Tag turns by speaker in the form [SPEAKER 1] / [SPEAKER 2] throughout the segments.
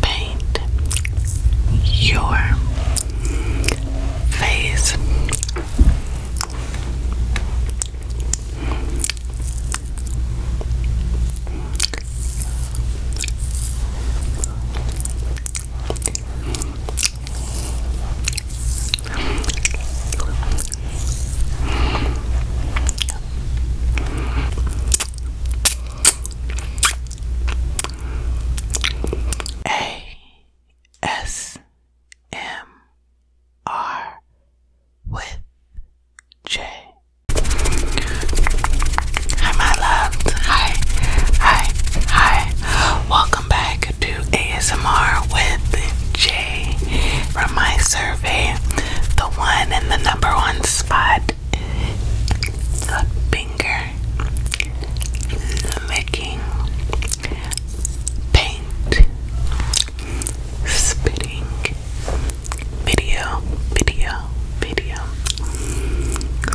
[SPEAKER 1] Paint your face. A S M R with J. Hi, my loves. Hi, hi, hi. Welcome back to ASMR with J. From my survey, the one in the number one spot the finger, licking, paint, spitting, video, video, video.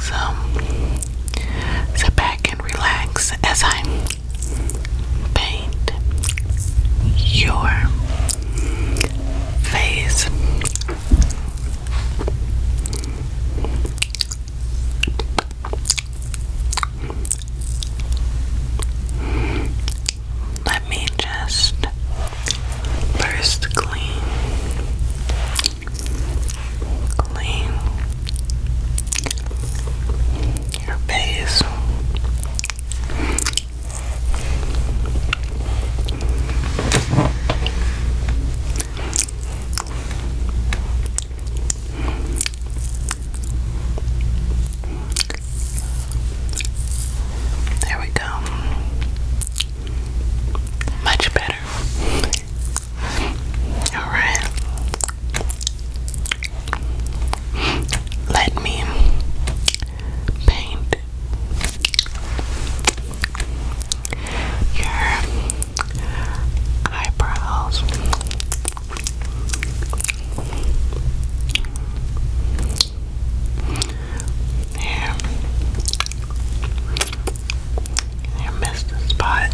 [SPEAKER 1] So sit back and relax as I paint your face. Let me just first clean, clean your face. There we go. Much better. All right. Let me paint your eyebrows. There. I missed a spot.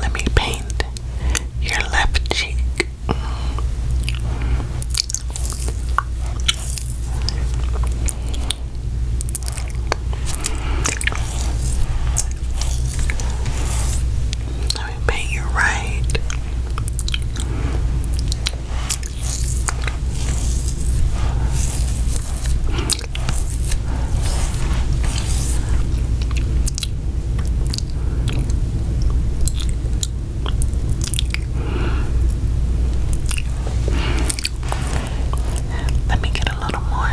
[SPEAKER 1] Let me paint your left cheek. Let me paint right. Let me get a little more.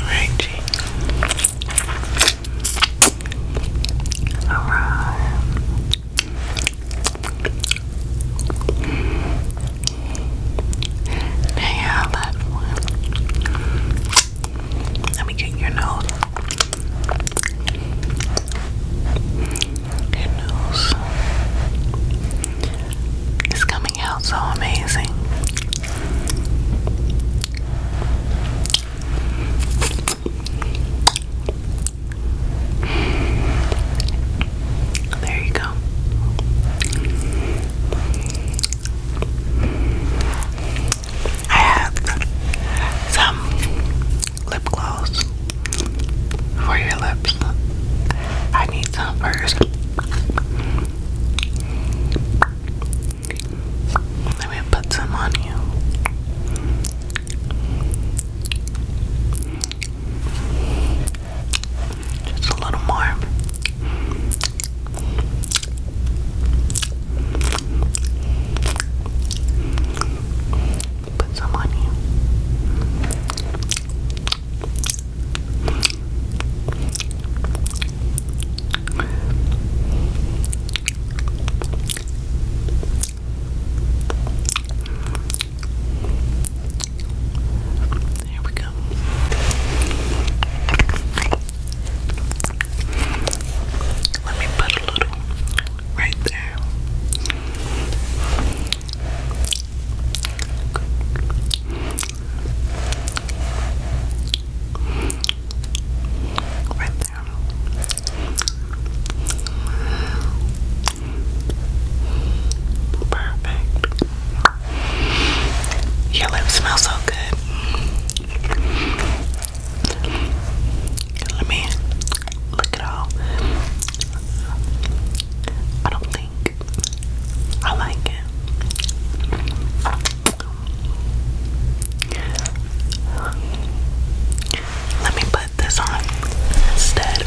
[SPEAKER 1] Righty. All right. Now that one. Let me get your nose and who's is coming out so amazing. There you go. I have some lip gloss for your lips. I need some first. Let me put some on you. Just a little more put some on you. There we go. Let me put a little right there. Right there. Perfect. Your lips smell so good. Let me look at all. I don't think I like it. Let me put this on instead.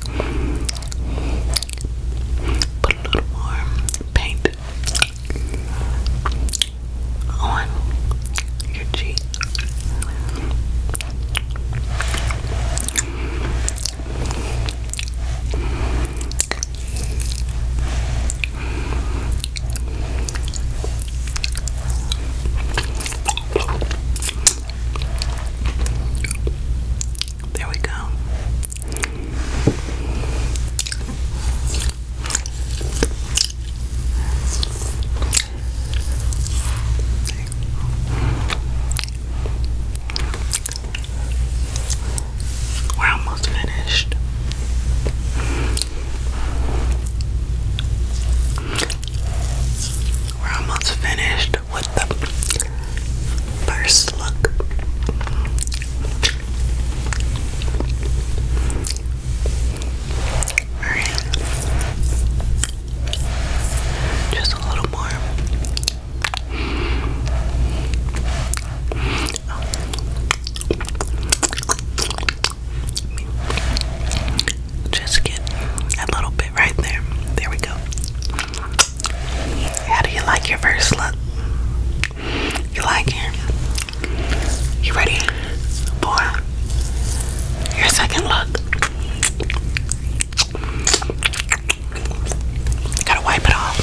[SPEAKER 1] Put a little more paint on your cheek. There we go. We're almost finished. We're almost finished with the first look. Just a little more. Just get a little bit right there. There we go. How do you like your first look? You like it? You ready for your second look? gotta wipe it off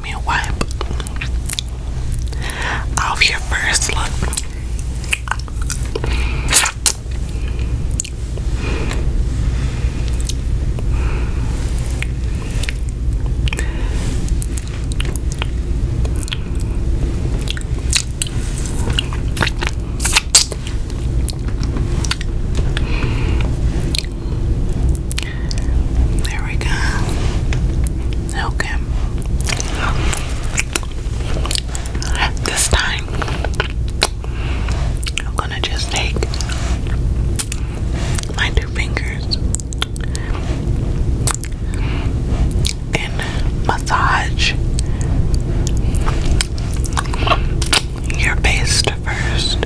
[SPEAKER 1] let me wipe off your first look. There we go. Okay. This time, I'm gonna just take my two fingers and massage your face first.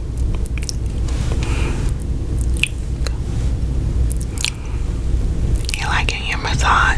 [SPEAKER 1] You like your massage?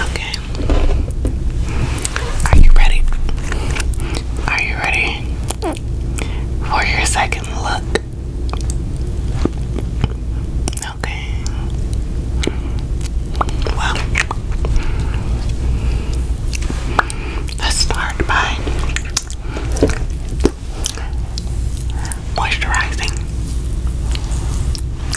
[SPEAKER 1] Okay. Are you ready? Are you ready for your second look? Okay. Well, let's start by moisturizing.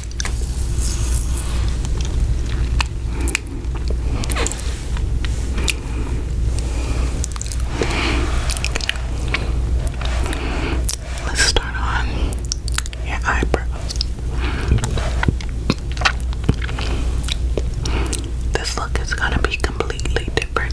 [SPEAKER 1] Let's start on your eyebrows. This look is going to be completely different.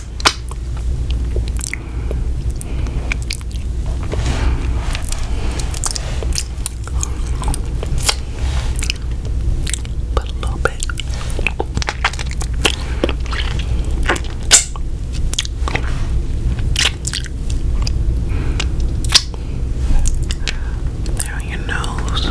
[SPEAKER 1] Put a little bit. There on your nose.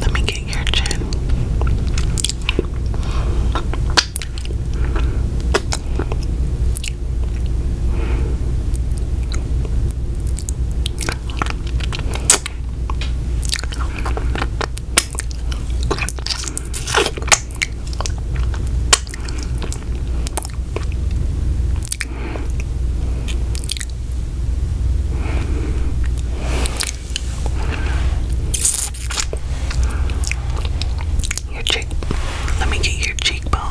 [SPEAKER 1] Let me get your chin. Your cheek. Let me get your cheekbone.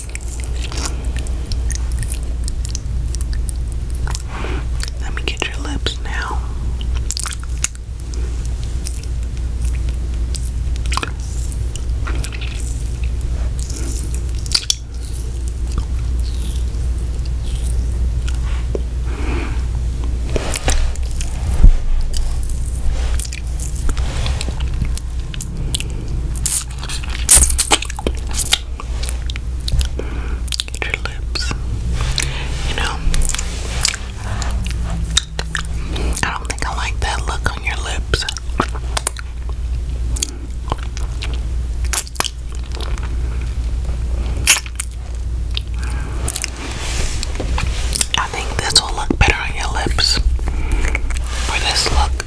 [SPEAKER 1] Let me get your lips now your lips. You know, I don't think I like that look on your lips. I think this will look better on your lips for this look.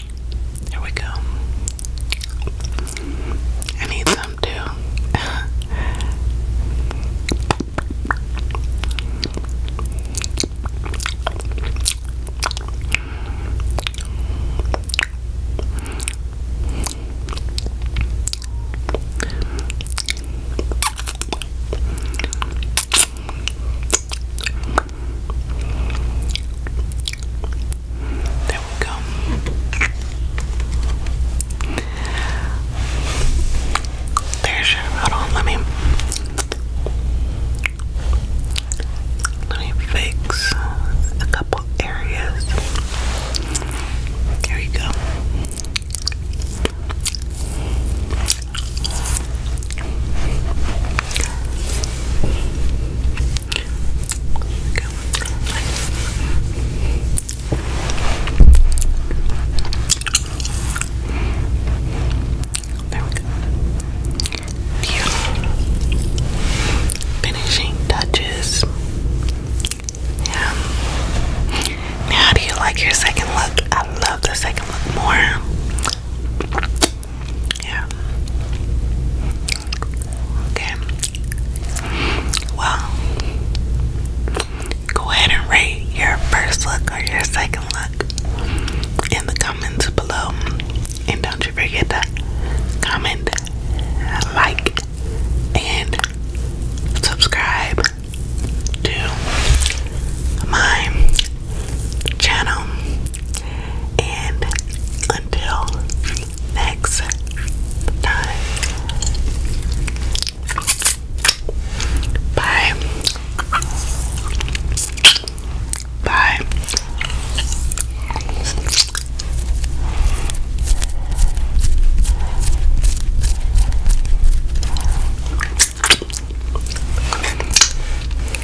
[SPEAKER 1] Here we go. I need some too. There we go. There's your. Hold on, let me. Let me fix a couple areas. There you go. There we go. Finishing touches. Yeah. how do you like your second look? I love the second look more. Yeah. Okay. Well, go ahead and rate your first look or your second look in the comments below. And don't you forget to comment, like, and subscribe to my channel. And until next time, bye. Bye.